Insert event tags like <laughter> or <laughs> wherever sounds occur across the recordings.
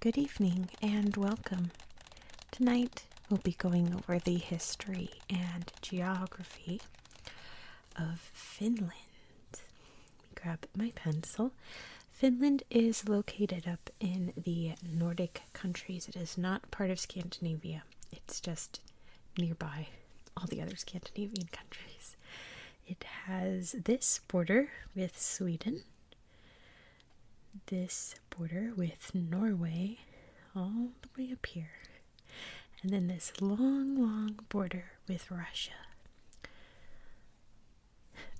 Good evening and welcome. Tonight we'll be going over the history and geography of Finland. grab my pencil. Finland is located up in the Nordic countries. It is not part of Scandinavia. It's just nearby all the other Scandinavian countries. It has this border with Sweden, this border with Norway, all the way up here, and then this long, long border with Russia.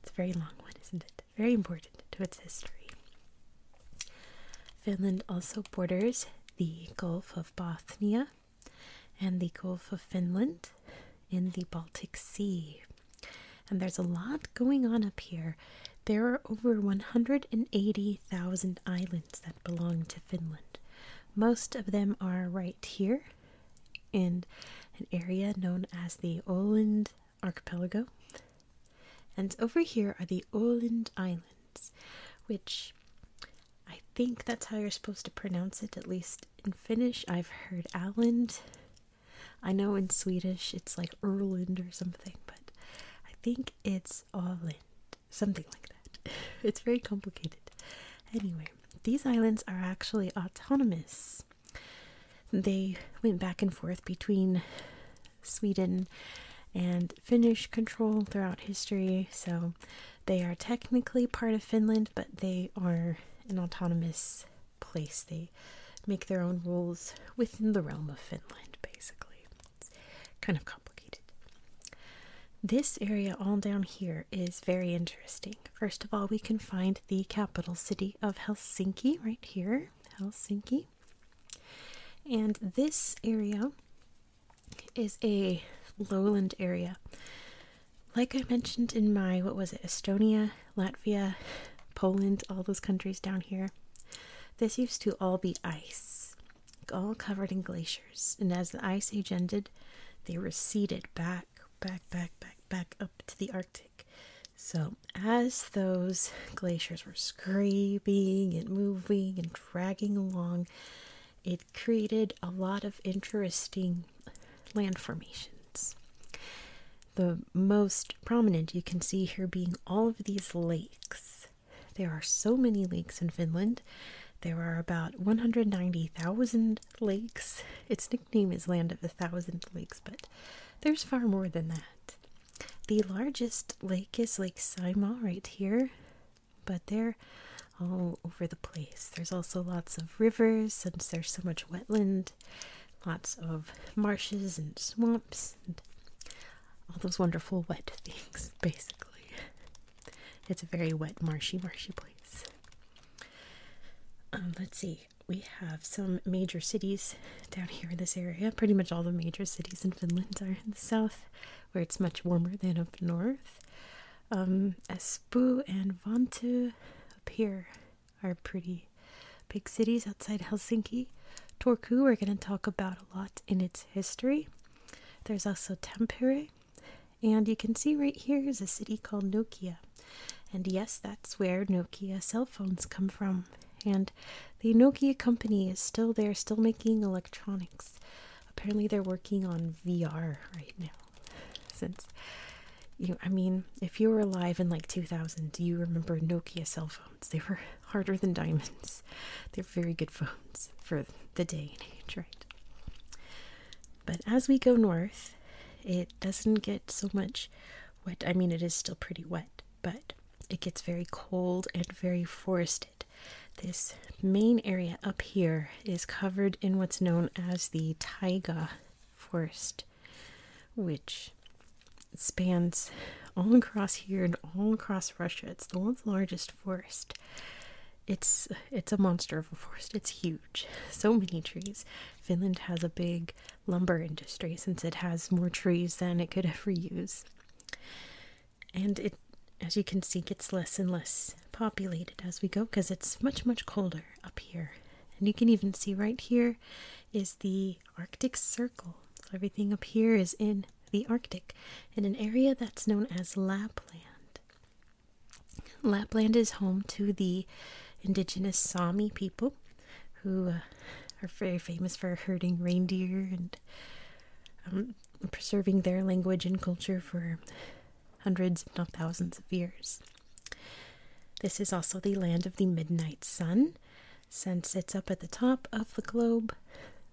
It's a very long one, isn't it? Very important to its history. Finland also borders the Gulf of Bothnia and the Gulf of Finland in the Baltic Sea. And there's a lot going on up here. There are over 180,000 islands that belong to Finland. Most of them are right here in an area known as the Oland Archipelago. And over here are the Oland Islands which I think that's how you're supposed to pronounce it, at least in Finnish. I've heard Åland. I know in Swedish it's like Erland or something, but I think it's Åland, something like that. <laughs> It's very complicated. Anyway, these islands are actually autonomous. They went back and forth between Sweden and Finnish control throughout history, so they are technically part of Finland, but they are an autonomous place. They make their own rules within the realm of Finland, basically. kind of complicated. This area all down here is very interesting. First of all, we can find the capital city of Helsinki right here, Helsinki. And this area is a lowland area. Like I mentioned in my, what was it, Estonia, Latvia, Poland, all those countries down here, this used to all be ice, all covered in glaciers. And as the ice age ended, they receded back, back, back, back, back up to the Arctic. So as those glaciers were scraping and moving and dragging along, it created a lot of interesting land formations. The most prominent you can see here being all of these lakes. There are so many lakes in Finland. There are about 190,000 lakes. Its nickname is Land of a Thousand Lakes, but there's far more than that. The largest lake is Lake Saimaa right here but they're all over the place. There's also lots of rivers since there's so much wetland, lots of marshes and swamps, and all those wonderful wet <laughs> things, basically. It's a very wet, marshy, marshy place. Um, let's see, we have some major cities down here in this area. Pretty much all the major cities in Finland are in the south where it's much warmer than up north. Um, Espoo and Vantu up here are pretty big cities outside Helsinki. Turku, we're going to talk about a lot in its history. There's also Tampere, and you can see right here is a city called Nokia. And yes, that's where Nokia cell phones come from. And the Nokia company is still there, still making electronics apparently they're working on VR right now. Since you, I mean, if you were alive in like 2000, do you remember Nokia cell phones. They were <laughs> harder than diamonds. They're very good phones for the day and age, right? But as we go north, it doesn't get so much wet. I mean, it is still pretty wet, but it gets very cold and very forested. This main area up here is covered in what's known as the taiga forest, which spans all across here and all across Russia. It's the world's largest forest. It's it's a monster of a forest. It's huge. So many trees. Finland has a big lumber industry since it has more trees than it could ever use and it as you can see gets less and less populated as we go because it's much much colder up here and you can even see right here is the arctic circle everything up here is in the arctic in an area that's known as lapland lapland is home to the indigenous sami people who uh, are very famous for herding reindeer and um, preserving their language and culture for hundreds, if not thousands, of years. This is also the land of the midnight sun. Since it's up at the top of the globe,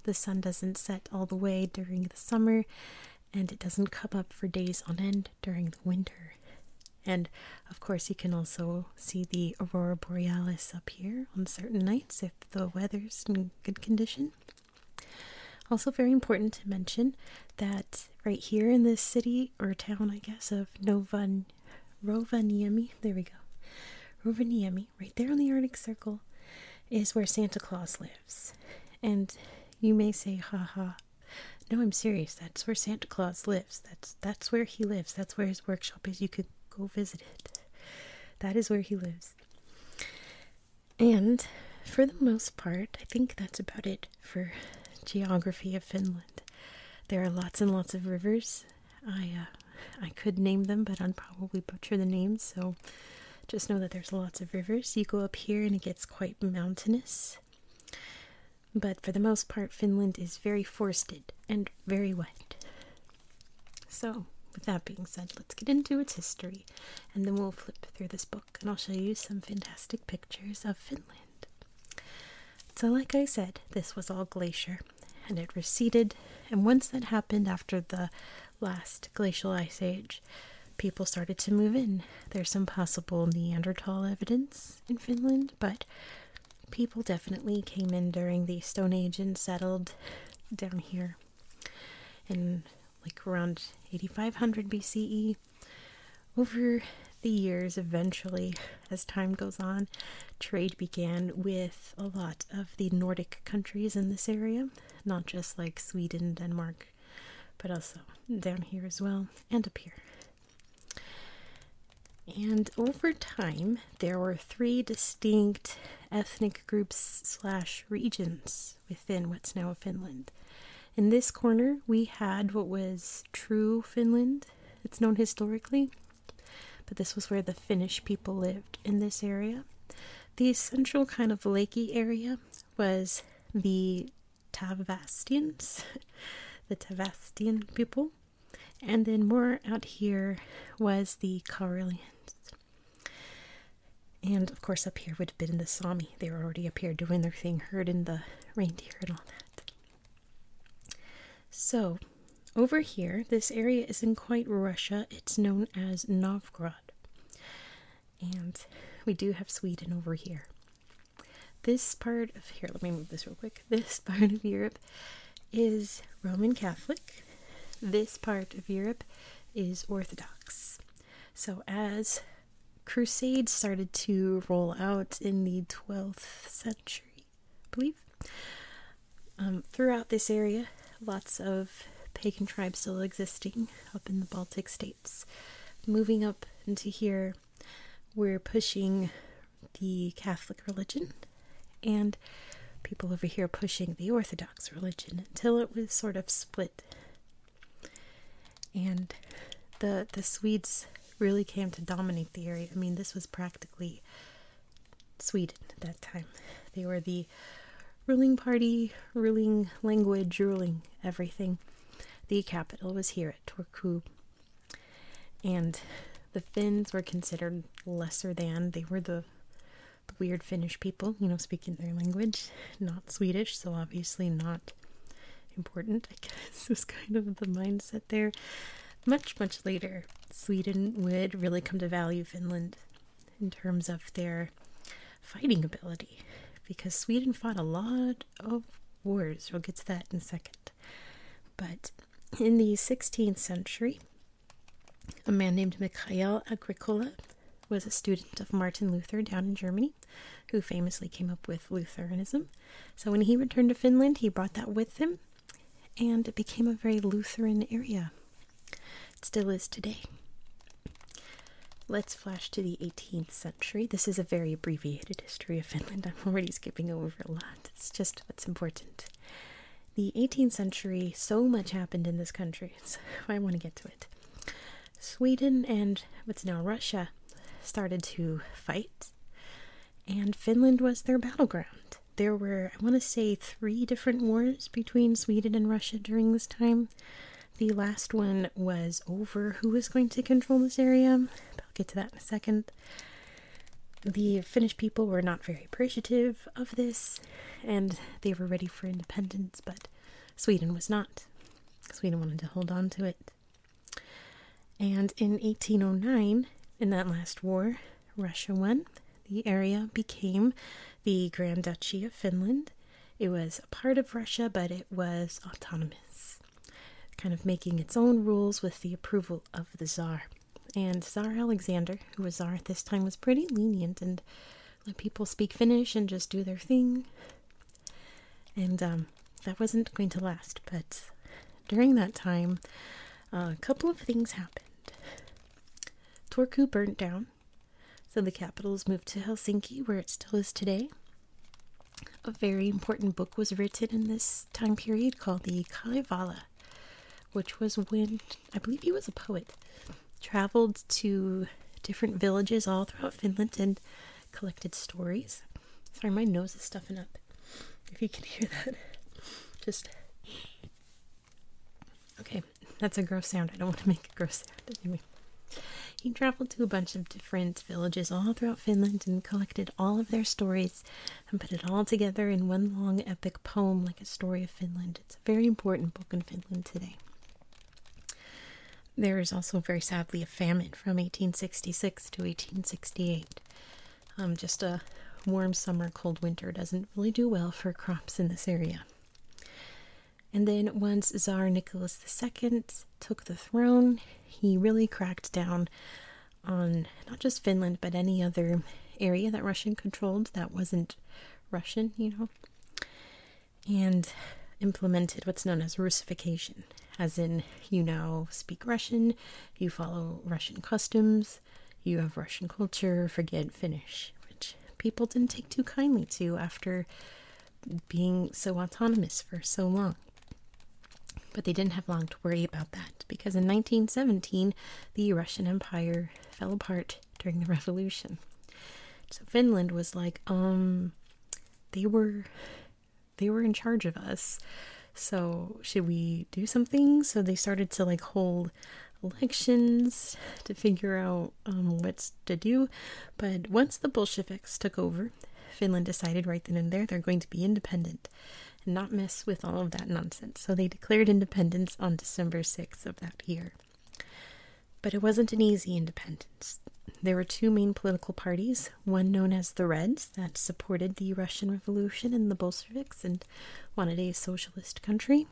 the sun doesn't set all the way during the summer and it doesn't come up for days on end during the winter. And of course, you can also see the aurora borealis up here on certain nights if the weather's in good condition. Also, very important to mention that right here in this city or town, I guess, of Novan there we go, Rovaniemi, right there on the Arctic Circle, is where Santa Claus lives. And you may say, haha. No, I'm serious. That's where Santa Claus lives. That's that's where he lives. That's where his workshop is. You could go visit it. That is where he lives. And for the most part, I think that's about it for geography of Finland. There are lots and lots of rivers. I uh, I could name them, but I'd probably butcher the names. So just know that there's lots of rivers. You go up here and it gets quite mountainous. But for the most part, Finland is very forested and very wet. So, with that being said, let's get into its history and then we'll flip through this book and I'll show you some fantastic pictures of Finland. So, like I said, this was all glacier and it receded, and once that happened after the last glacial ice age, people started to move in. There's some possible Neanderthal evidence in Finland, but people definitely came in during the Stone Age and settled down here. And like around 8500 BCE. Over the years, eventually, as time goes on, trade began with a lot of the Nordic countries in this area, not just like Sweden, Denmark, but also down here as well and up here. And over time, there were three distinct ethnic groups slash regions within what's now Finland. In this corner, we had what was true Finland, it's known historically, but this was where the Finnish people lived in this area. The central kind of lakey area was the Tavastians, <laughs> the Tavastian people, and then more out here was the Karelians. And of course, up here would have been the Sami. They were already up here doing their thing, herding the reindeer and all that. So, over here, this area isn't quite Russia. It's known as Novgorod. And we do have Sweden over here. This part of here, let me move this real quick. This <laughs> part of Europe is Roman Catholic. This part of Europe is Orthodox. So, as crusades started to roll out in the 12th century, I believe, um, throughout this area, lots of pagan tribes still existing up in the Baltic states. Moving up into here, we're pushing the Catholic religion and people over here pushing the Orthodox religion until it was sort of split and the the Swedes really came to dominate the area. I mean, this was practically Sweden at that time. They were the ruling party, ruling language, ruling everything. The capital was here at Turku. And the Finns were considered lesser than. They were the, the weird Finnish people, you know, speaking their language not Swedish, so obviously not important. I guess is <laughs> kind of the mindset there. Much, much later, Sweden would really come to value Finland in terms of their fighting ability because Sweden fought a lot of wars. We'll get to that in a second. But in the 16th century, a man named Michael Agricola was a student of Martin Luther down in Germany who famously came up with Lutheranism. So when he returned to Finland, he brought that with him, and it became a very Lutheran area. It still is today. Let's flash to the 18th century. This is a very abbreviated history of Finland. I'm already skipping over a lot. It's just what's important. The 18th century, so much happened in this country, <laughs> I want to get to it. Sweden and what's now Russia started to fight, and Finland was their battleground. There were, I want to say, three different wars between Sweden and Russia during this time. The last one was over who was going to control this area. I'll get to that in a second. The Finnish people were not very appreciative of this, and they were ready for independence, but Sweden was not because we didn't wanted to hold on to it. And in 1809, in that last war, Russia won. The area became the Grand Duchy of Finland. It was a part of Russia, but it was autonomous, kind of making its own rules with the approval of the Tsar. And Tsar Alexander, who was Tsar at this time, was pretty lenient and let people speak Finnish and just do their thing and um, that wasn't going to last. But during that time, a couple of things happened. Turku burnt down, so the capital was moved to Helsinki, where it still is today. A very important book was written in this time period called the Kalevala, which was when I believe he was a poet, traveled to different villages all throughout Finland and collected stories. Sorry, my nose is stuffing up. If you can hear that, <laughs> just okay. That's a gross sound. I don't want to make a gross sound anyway. He traveled to a bunch of different villages all throughout Finland and collected all of their stories and put it all together in one long epic poem, like a story of Finland. It's a very important book in Finland today. There is also, very sadly, a famine from 1866 to 1868. Um, just a warm summer, cold winter doesn't really do well for crops in this area. And then, once Tsar Nicholas II took the throne, he really cracked down on not just Finland, but any other area that Russian controlled that wasn't Russian, you know and implemented what's known as Russification, as in you now speak Russian, you follow Russian customs, you have Russian culture, forget Finnish, which people didn't take too kindly to after being so autonomous for so long. But they didn't have long to worry about that because in 1917 the Russian Empire fell apart during the <laughs> revolution. So Finland was like, um, they were they were in charge of us so should we do something so they started to like hold elections to figure out um, what to do but once the bolsheviks took over finland decided right then and there they're going to be independent and not mess with all of that nonsense so they declared independence on december 6th of that year but it wasn't an easy independence. There were two main political parties, one known as the Reds, that supported the Russian Revolution and the Bolsheviks and wanted a socialist country.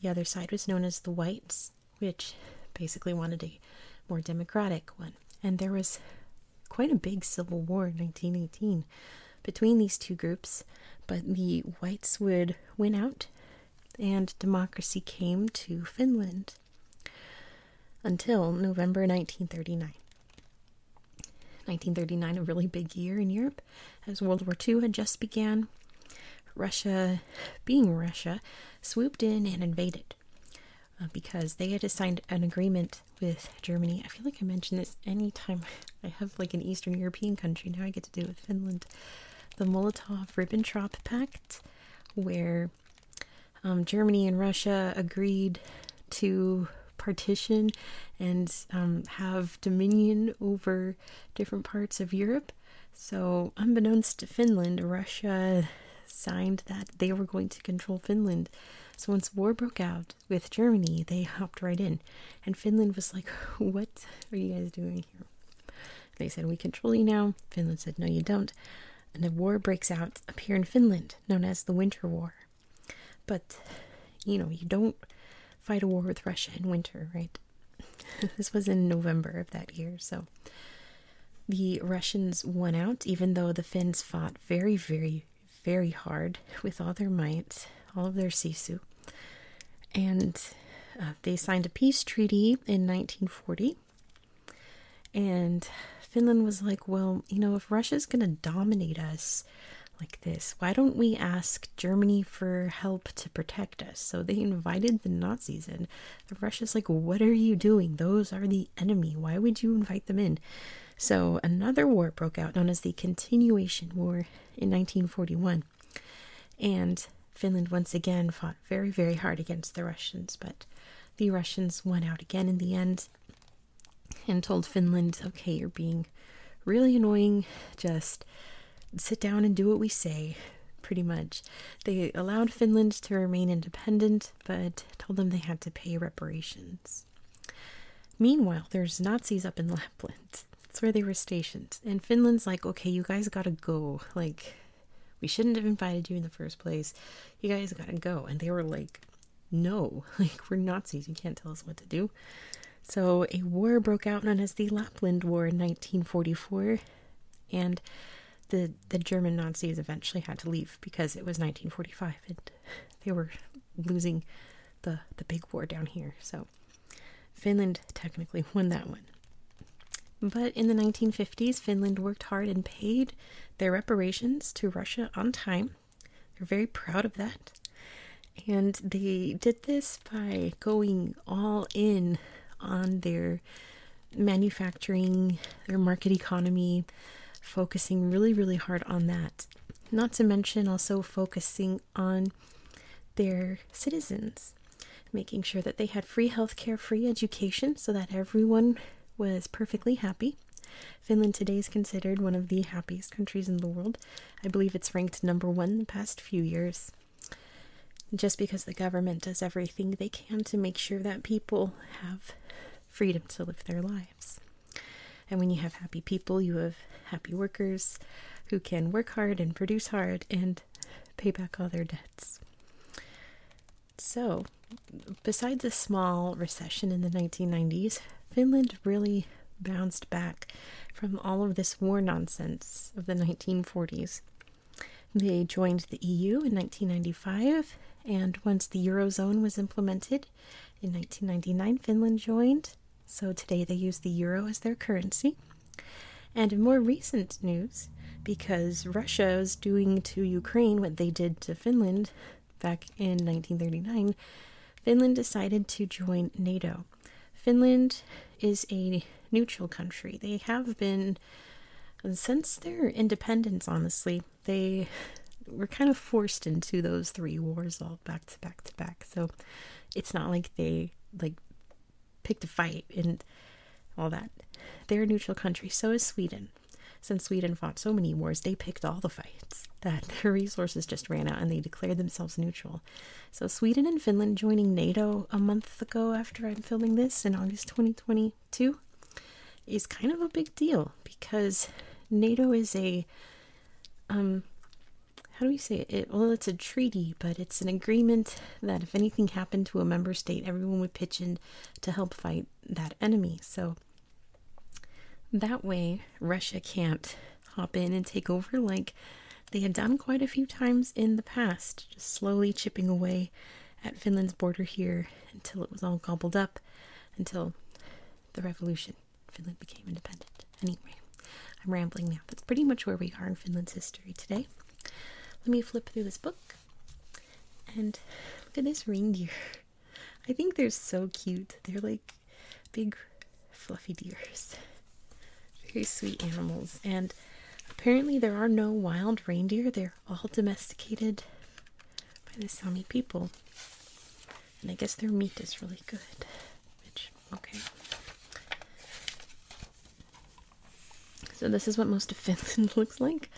The other side was known as the Whites, which basically wanted a more democratic one. And there was quite a big civil war in 1918 between these two groups, but the Whites would win out and democracy came to Finland until November 1939. 1939, a really big year in Europe, as World War II had just began. Russia, being Russia, swooped in and invaded uh, because they had signed an agreement with Germany. I feel like I mention this anytime <laughs> I have like an Eastern European country. Now I get to do it with Finland. The Molotov Ribbentrop Pact, where um, Germany and Russia agreed to partition and um, have dominion over different parts of Europe. So, unbeknownst to Finland, Russia signed that they were going to control Finland. So, once war broke out with Germany, they hopped right in. And Finland was like, What are you guys doing here? They said, We control you now. Finland said, No, you don't and a war breaks out up here in Finland known as the Winter War. But you know, you don't fight a war with Russia in winter, right? <laughs> this was in November of that year, so the Russians won out, even though the Finns fought very, very, very hard with all their might, all of their sisu. And uh, they signed a peace treaty in 1940 and Finland was like, well, you know, if Russia's going to dominate us like this, why don't we ask Germany for help to protect us? So they invited the Nazis in. The Russia's like, what are you doing? Those are the enemy. Why would you invite them in? So another war broke out known as the Continuation War in 1941. And Finland once again fought very, very hard against the Russians, but the Russians won out again in the end and told Finland, okay, you're being really annoying, just sit down and do what we say, pretty much. They allowed Finland to remain independent, but told them they had to pay reparations. Meanwhile, there's Nazis up in Lapland. That's where they were stationed. And Finland's like, okay, you guys gotta go. Like, we shouldn't have invited you in the first place. You guys gotta go. And they were like, no, <laughs> like we're Nazis. You can't tell us what to do. So a war broke out known as the Lapland War in 1944, and the the German Nazis eventually had to leave because it was 1945 and they were losing the the big war down here. So Finland technically won that one. But in the 1950s, Finland worked hard and paid their reparations to Russia on time. They're very proud of that. And they did this by going all in on their manufacturing, their market economy, focusing really, really hard on that. Not to mention also focusing on their citizens, making sure that they had free healthcare, free education, so that everyone was perfectly happy. Finland today is considered one of the happiest countries in the world. I believe it's ranked number one the past few years. Just because the government does everything they can to make sure that people have freedom to live their lives. And when you have happy people, you have happy workers who can work hard and produce hard and pay back all their debts. So, besides a small recession in the 1990s, Finland really bounced back from all of this war nonsense of the 1940s. They joined the EU in 1995, and once the Eurozone was implemented in 1999, Finland joined. So today they use the euro as their currency. And more recent news, because Russia is doing to Ukraine what they did to Finland back in 1939. Finland decided to join NATO. Finland is a neutral country. They have been since their independence, honestly. They were kind of forced into those three wars all back to back to back. So it's not like they like picked a fight and all that. They're a neutral country. So is Sweden. Since Sweden fought so many wars, they picked all the fights that <laughs> their resources just ran out and they declared themselves neutral. So, Sweden and Finland joining NATO a month ago after I'm filming this in August 2022 is kind of a big deal because NATO is a, um, how do we say it? Well, it's a treaty, but it's an agreement that if anything happened to a member state, everyone would pitch in to help fight that enemy. So that way, Russia can't hop in and take over like they had done quite a few times in the past, just slowly chipping away at Finland's border here until it was all gobbled up until the revolution. Finland became independent. Anyway, I'm rambling now. That's pretty much where we are in Finland's history today. Let me flip through this book and look at this reindeer. <laughs> I think they're so cute. They're like big fluffy deers. Very sweet animals. And apparently there are no wild reindeer. They're all domesticated by the Sami people. And I guess their meat is really good. Which okay. So this is what most of Finland <laughs> looks like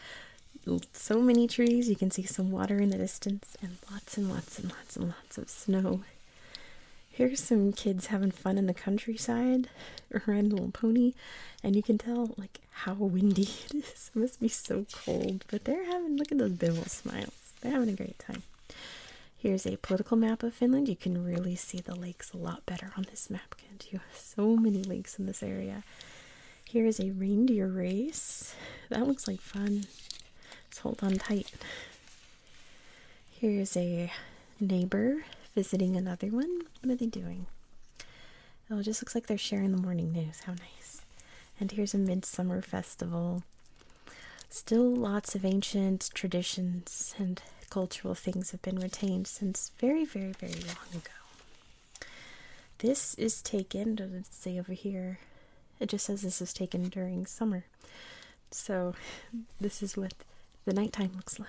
so many trees. You can see some water in the distance, and lots and lots and lots and lots of snow. Here's some kids having fun in the countryside, riding a little pony, and you can tell like how windy <laughs> it is. It must be so cold, but they're having look at those big old smiles. They're having a great time. Here's a political map of Finland. You can really see the lakes a lot better on this map, can't you? So many lakes in this area. Here is a reindeer race. That looks like fun. Let's hold on tight. Here's a neighbor visiting another one. What are they doing? Oh, it just looks like they're sharing the morning news. How nice. And here's a midsummer festival. Still lots of ancient traditions and cultural things have been retained since very, very, very long ago. This is taken, does it say over here? It just says this is taken during summer. So <laughs> this is what the nighttime looks like.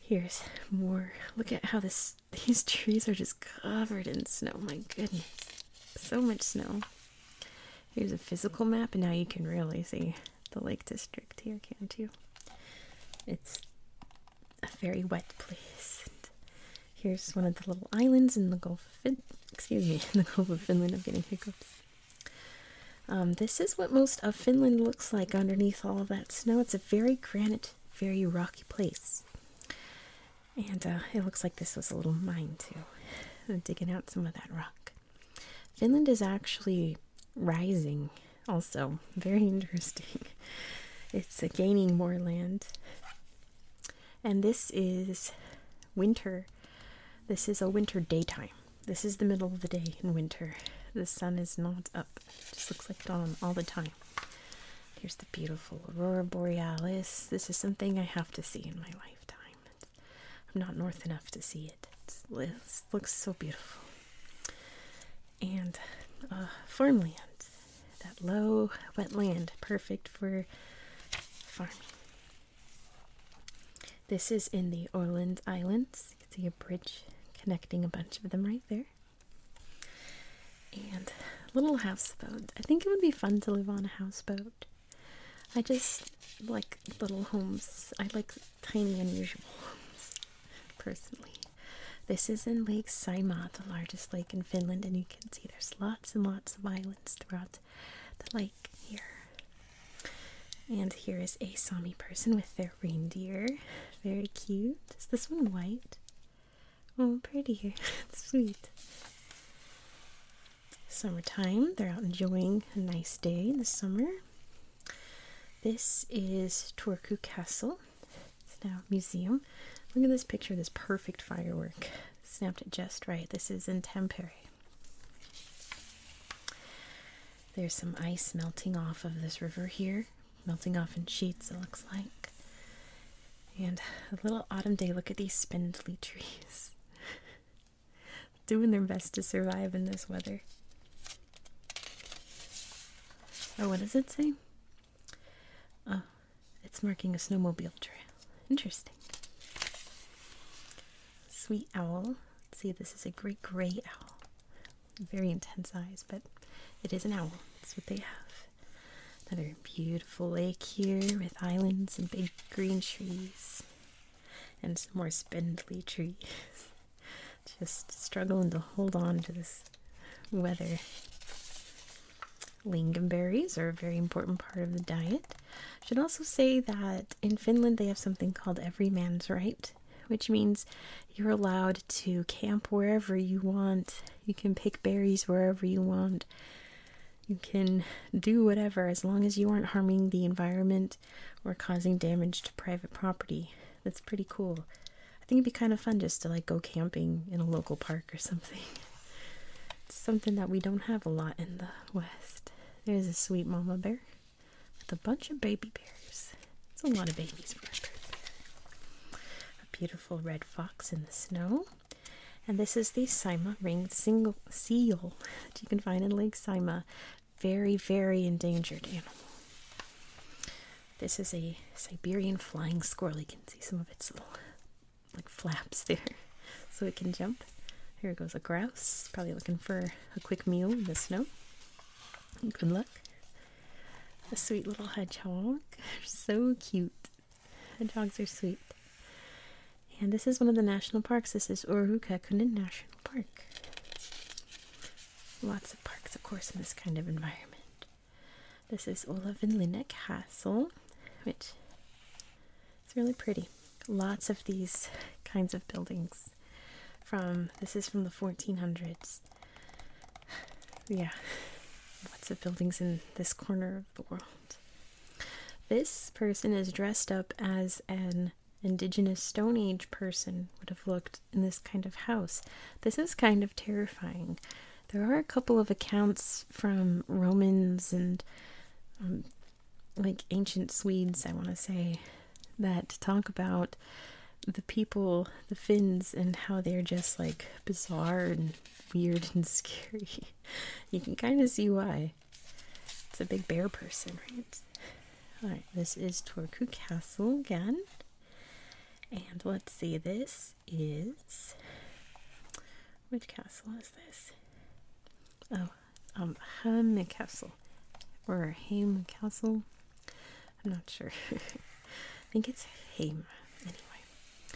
Here's more. Look at how this these trees are just covered in snow. My goodness. So much snow. Here's a physical map and now you can really see the lake district here, can't you? It's a very wet place. here's one of the little islands in the Gulf of fin excuse me, <laughs> in the Gulf of Finland. I'm getting hiccups. Um, this is what most of Finland looks like underneath all of that snow. It's a very granite, very rocky place. And uh, it looks like this was a little mine too. <laughs> digging out some of that rock. Finland is actually rising also <laughs> very interesting. It's a uh, gaining more land. And this is winter. This is a winter daytime. This is the middle of the day in winter. The sun is not up. It just looks like dawn all the time. Here's the beautiful aurora borealis. This is something I have to see in my lifetime. I'm not north enough to see it. It's, it looks so beautiful and farmland. That low wetland, perfect for farming. This is in the Orleans Islands. You can see a bridge connecting a bunch of them right there. And little houseboat. I think it would be fun to live on a houseboat. I just like little homes. I like tiny, unusual <laughs> homes, personally. This is in Lake Saimaa, the largest lake in Finland, and you can see there's lots and lots of islands throughout the lake here. And here is a Sami person with their reindeer. Very cute. Is this one white? Oh, pretty. <laughs> it's sweet. Summertime. They're out enjoying a nice day in the summer. This is Turku Castle. So now museum. Look at this picture this perfect firework. Snapped it just right. This is in Tampere. There's some ice melting off of this river here, melting off in sheets, it looks like. And a little autumn day, look at these spindly <laughs> trees. Doing their best to survive in this weather. Oh, what does it say? Oh, it's marking a snowmobile trail. Interesting. Sweet owl. Let's see, this is a great gray owl. Very intense eyes, but it is an owl. That's what they have. Another beautiful lake here with islands and big green trees and some more spindly trees. <laughs> Just struggling to hold on to this weather. Lingonberries are a very important part of the diet. I should also say that in Finland they have something called every man's right, which means you're allowed to camp wherever you want. You can pick berries wherever you want. You can do whatever as long as you aren't harming the environment or causing damage to private property. That's pretty cool. I think it'd be kind of fun just to like go camping in a local park or something. <laughs> It's something that we don't have a lot in the West. There's a sweet mama bear with a bunch of baby bears. It's a lot of babies for a beautiful red fox in the snow. And this is the Sima ringed single seal that you can find in Lake Sima. Very, very endangered animal. This is a Siberian flying squirrel. You can see some of its little like flaps there <laughs> so it can jump. Here goes a grouse, probably looking for a quick meal in the snow. Good luck. A sweet little hedgehog. They're <laughs> so cute. Hedgehogs are sweet. And this is one of the national parks. This is Urukakuna National Park. Lots of parks, of course, in this kind of environment. This is Olaf and Linda Castle, which is really pretty. Lots of these kinds of buildings from this is from the 1400s. Yeah, lots of buildings in this corner of the world. This person is dressed up as an indigenous Stone Age person would have looked in this kind of house. This is kind of terrifying. There are a couple of accounts from Romans and um, like ancient Swedes, I want to say, that talk about the people, the Finns, and how they're just like bizarre and weird and <laughs> scary. you can kind of see why. It's a big bear person, right? Alright, this is Torku Castle again. And let's see this is which castle is this? Oh, um, Ham Castle or Ham Castle. I'm not sure. <laughs> I think it's Ham. Anyway,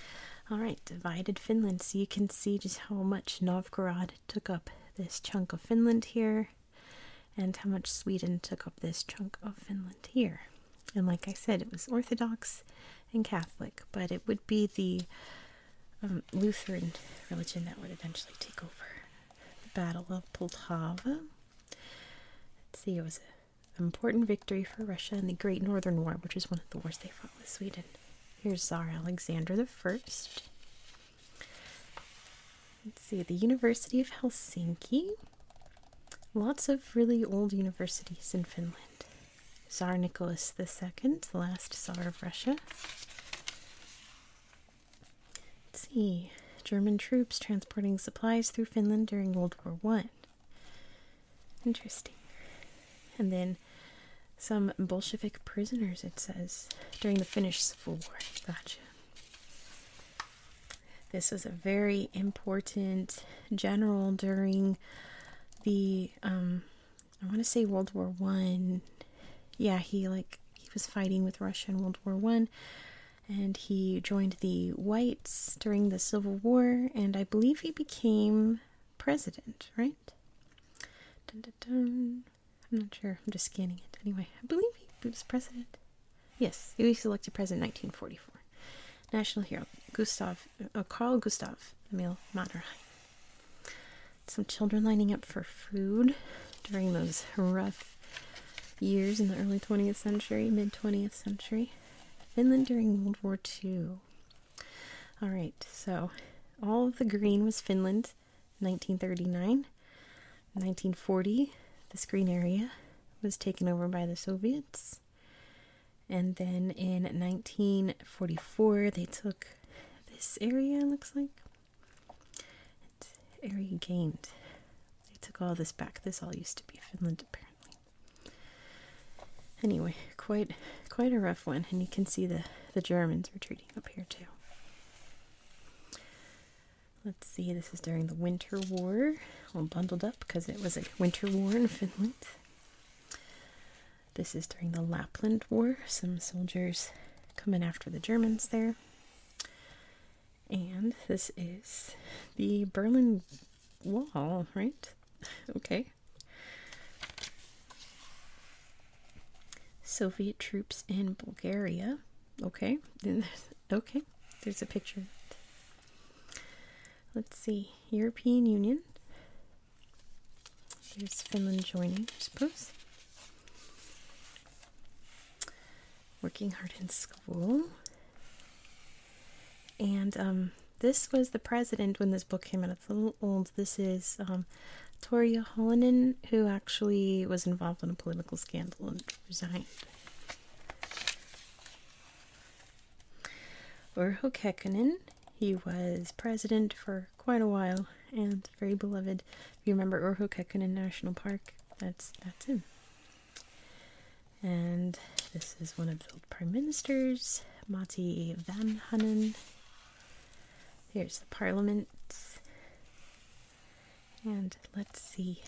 all right. Divided Finland, so you can see just how much Novgorod took up this chunk of Finland here, and how much Sweden took up this chunk of Finland here. And like I said, it was Orthodox and Catholic, but it would be the um, Lutheran religion that would eventually take over. The Battle of Poltava. Let's see, it was an important victory for Russia in the Great Northern War, which is one of the wars they fought with Sweden. Here's Tsar Alexander the 1st Let's see, the University of Helsinki. Lots of really old universities in Finland. Tsar Nicholas II, the last Tsar of Russia. Let's see. German troops transporting supplies through Finland during World War One. Interesting. And then some Bolshevik prisoners, it says, during the Finnish Civil War. Gotcha. This was a very important general during the um I want to say World War One. Yeah, he like he was fighting with Russia in World War One, and he joined the Whites during the Civil War, and I believe he became president, right? Dun, dun, dun. I'm not sure. I'm just scanning it anyway. I believe he was president. Yes, he was elected president 1944. National hero Gustav, uh, Carl Gustav Emil Mannerheim. Some children lining up for food during those rough years in the early 20th century, mid 20th century. Finland during World War II. All right, so all of the green was Finland, 1939. 1940, this green area was taken over by the Soviets. And then in 1944, they took this area, looks like. It's area gained. They took all this back. This all used to be Finland, apparently. Anyway, quite quite a rough one. And you can see the, the Germans retreating up here, too. Let's see, this is during the Winter War. All bundled up because it was a winter war in Finland. This is during the Lapland War, some soldiers come in after the Germans there. And this is the Berlin Wall, right? Okay. Soviet troops in Bulgaria. Okay. okay. There's a picture. Let's see. European Union. There's Finland joining, I suppose. Working hard in school. And um, this was the president when this book came out. It's a little old. This is um, Toria Holonen, who actually was involved in a political scandal and resigned. Or Hokkekkonen. He was president for quite a while and very beloved. If you remember Urho Kekkonen National Park, that's that's him. And this is one of the prime ministers, Matti Vanhanen. Here's the parliament. And let's see.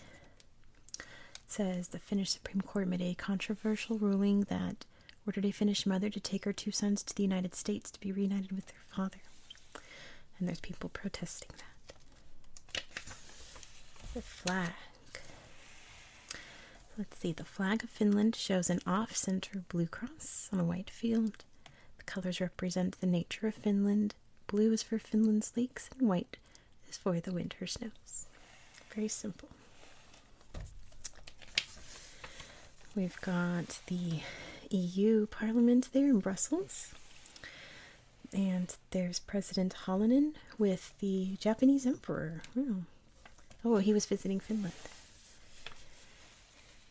It says the Finnish Supreme Court made a controversial ruling that Ordered a Finnish mother to take her two sons to the United States to be reunited with their father. And there's people protesting that. The flag. Let's see, the flag of Finland shows an off center blue cross on a white field. The colors represent the nature of Finland. Blue is for Finland's lakes, and white is for the winter snows. Very simple. We've got the EU Parliament there in Brussels. And there's President Hallinen with the Japanese Emperor. oh, he was visiting Finland.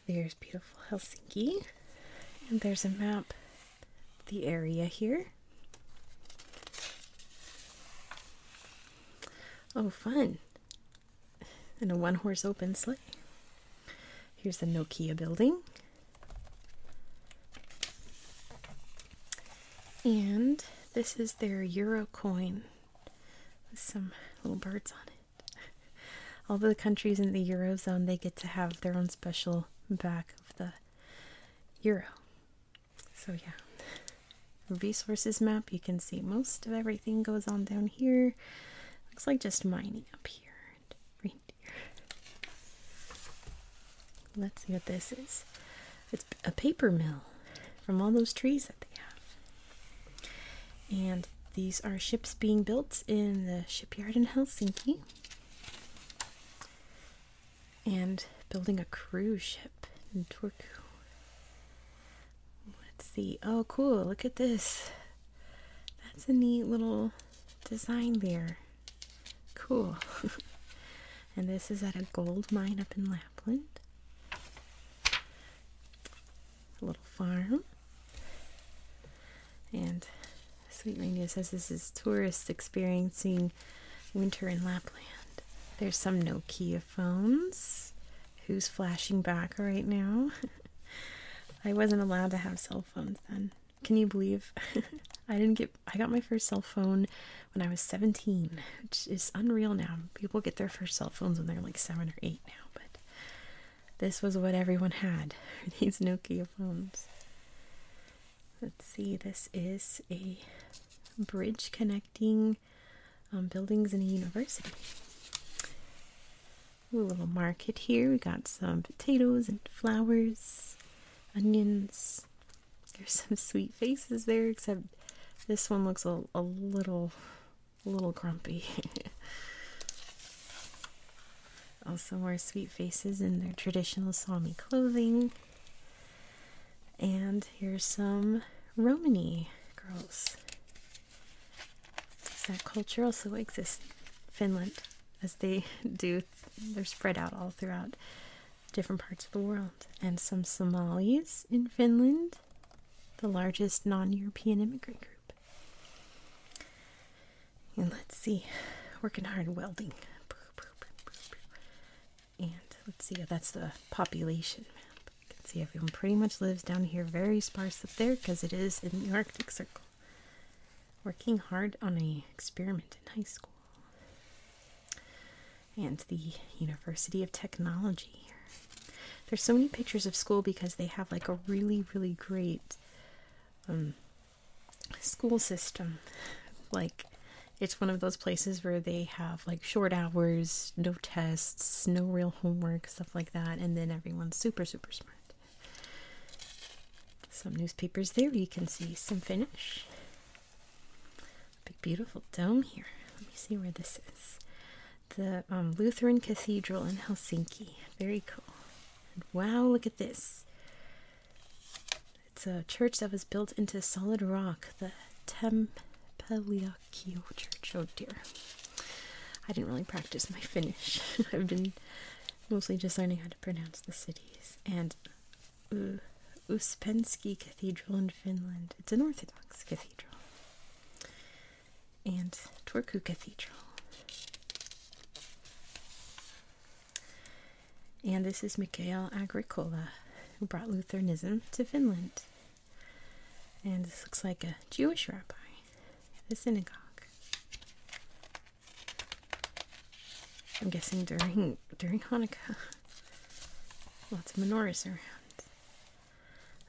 There's beautiful Helsinki. And there's a map the area here. Oh, fun and a one horse open sleigh. Here's the Nokia building. And this is their euro coin with some little birds on it. <laughs> All the countries in the eurozone they get to have their own special back of the euro. So yeah resources map, you can see most of everything goes on down here. Looks like just mining up here Let's see what this is. It's a paper mill from all those trees that they have. And these are ships being built in the shipyard in Helsinki. And building a cruise ship in Turku. Let's see. Oh, cool. Look at this. That's a neat little design there. Cool. <laughs> and this is at a gold mine up in Lapland. A little farm. And Sweet Reindeer says this is tourists experiencing winter in Lapland. There's some Nokia phones. Who's flashing back right now? <laughs> I wasn't allowed to have cell phones then. Can you believe? <laughs> I didn't get I got my first cell phone when I was 17, which is unreal now. People get their first cell phones when they're like 7 or 8 now, but this was what everyone had. <laughs> These Nokia phones. Let's see. This is a bridge connecting um, buildings in a university. Ooh, a little market here. We got some potatoes and flowers, onions. There's <laughs> some sweet faces there, except this one looks a, little, a little grumpy. <laughs> also more sweet faces in their traditional Sami clothing. And here's some Romany girls that culture also exists Finland as they <laughs> do, they're spread out all throughout different parts of the world. And some Somalis in Finland, the largest non European immigrant group. And let's see, working hard welding. And let's see, that's the population map. You can see everyone pretty much lives down here very sparse up there because it is in the Arctic Circle. Working hard on a experiment in high school. And the University of Technology. There's so many pictures of school because they have like a really, really great um, school system. Like, it's one of those places where they have like short hours, no tests, no real homework stuff like that, and then everyone's super, super smart. Some newspapers there, you can see some finish. Big, beautiful dome here. Let me see where this is. The um, Lutheran Cathedral in Helsinki. Very cool. wow, look at this. It's a church that was built into solid rock, the Tempelia Kyoto Church. Oh dear. I didn't really practice my Finnish. <laughs> I've been mostly just learning how to pronounce the cities. And uh, Uspensky Cathedral in Finland. It's an Orthodox cathedral. And Turku Cathedral. And this is Mikhail Agricola, who brought Lutheranism to Finland. And this looks like a Jewish rabbi at the synagogue. I'm guessing during during Hanukkah. Lots of menorahs around.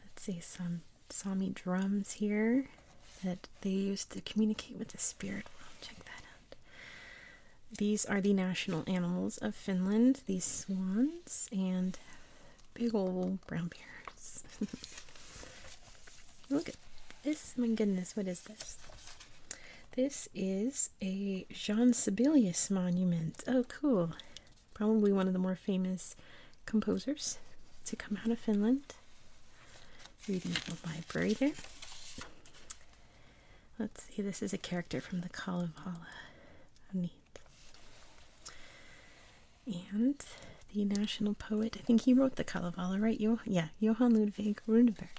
Let's see some Sami drums here that they use to communicate with the spirit world. Check that out. These are the national animals of Finland, these swans, and big old brown bears. <laughs> Look at this. My goodness, what is this? This is a Jean Sibelius monument. Oh, cool. Probably one of the more famous composers to come out of Finland. Reading the library there. Let's see, this is a character from the Kalevala. And the national poet, I think he wrote the Kalevala, right? yeah, Johann Ludwig Runeberg.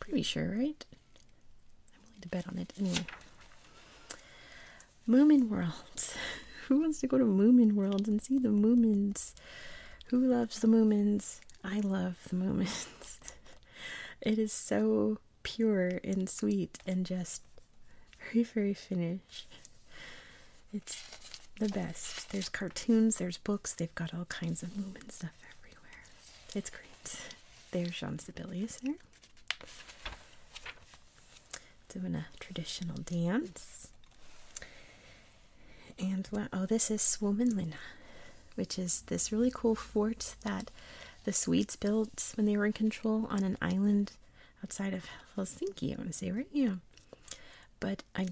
Pretty sure, right? I'm willing to bet on it anyway. Moomin Worlds. <laughs> Who wants to go to Moomin Worlds and see the Moomins? Who loves the Moomins? I love the Moomins. <laughs> it is so pure and sweet and just very, very finished. It's the best. There's cartoons, there's books, they've got all kinds of Lumen stuff everywhere. It's great. There's Jean Sibelius there. Doing a traditional dance. And oh, this is Swomenlina, which is this really cool fort that the Swedes built when they were in control on an island outside of Helsinki, I want to say, right? Yeah. But I,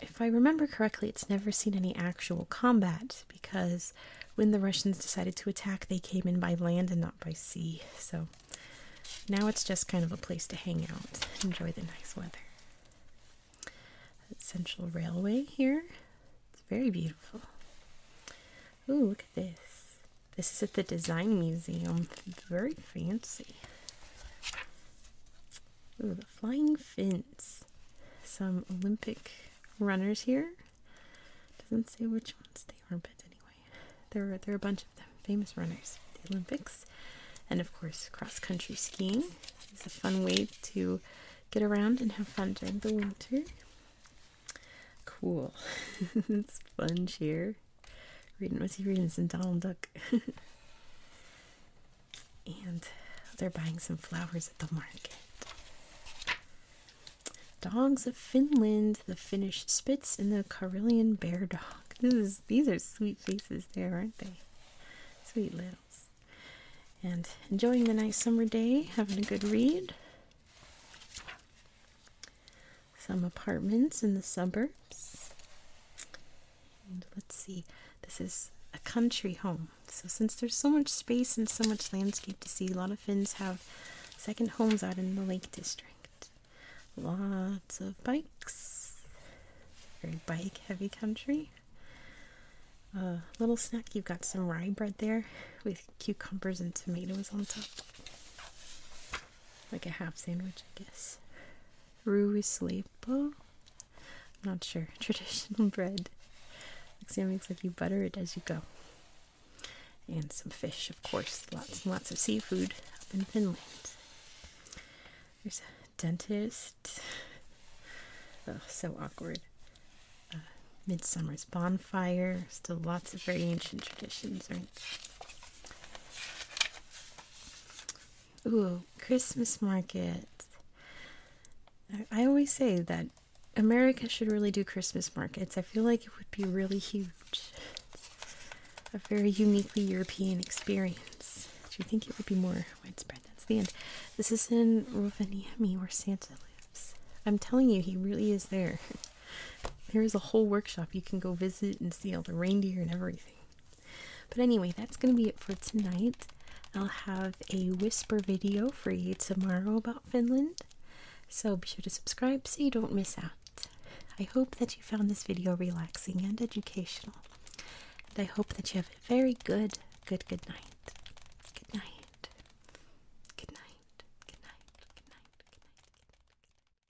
if I remember correctly, it's never seen any actual combat because when the Russians decided to attack, they came in by land and not by sea. So now it's just kind of a place to hang out, enjoy the nice weather. Central Railway here. It's very beautiful. Oh, look at this. This is at the Design Museum. Very fancy. Ooh, the flying fins. Some Olympic runners here. Doesn't say which ones they are, but anyway, there are there are a bunch of them. Famous runners, the Olympics, and of course cross country skiing. is a fun way to get around and have fun during the winter. Cool. <laughs> it's fun here reading was he reading some Donald Duck. <laughs> and they're buying some flowers at the market. Dogs of Finland, the Finnish Spitz, and the Karelian Bear Dog. these are sweet faces there, aren't they? Sweet littles. And enjoying the nice summer day, having a good read some apartments in the suburbs. And let's see, this is a country home. So since there's so much space and so much landscape to see, a lot of Finns have second homes out in the Lake District. Lots of bikes. Very bike heavy country. A little snack, you've got some rye bread there with cucumbers and tomatoes on top like a half sandwich, I guess. Roux is sleepo. not sure. <laughs> Traditional bread. Looks makes like you butter it as you go. And some fish, of course. Lots and lots of seafood up in Finland. There's a dentist. Oh, so awkward. Uh, Midsummer's bonfire. Still lots of very ancient traditions, right? Ooh, Christmas market. I always say that America should really do Christmas markets. I feel like it would be really huge. a very uniquely European experience. Do you think it would be more widespread? That's the end. This is in Rovaniemi where Santa lives. I'm telling you, he really is there. <laughs> There is a whole workshop you can go visit and see all the reindeer and everything. But anyway, that's going to be it for tonight. I'll have a whisper video for you tomorrow about Finland. So be sure to subscribe so you don't miss out. I hope that you found this video relaxing and educational. And I hope that you have a very good, good, good night. Good night. Good night. Good night. Good night. Good night. Good night. Good night.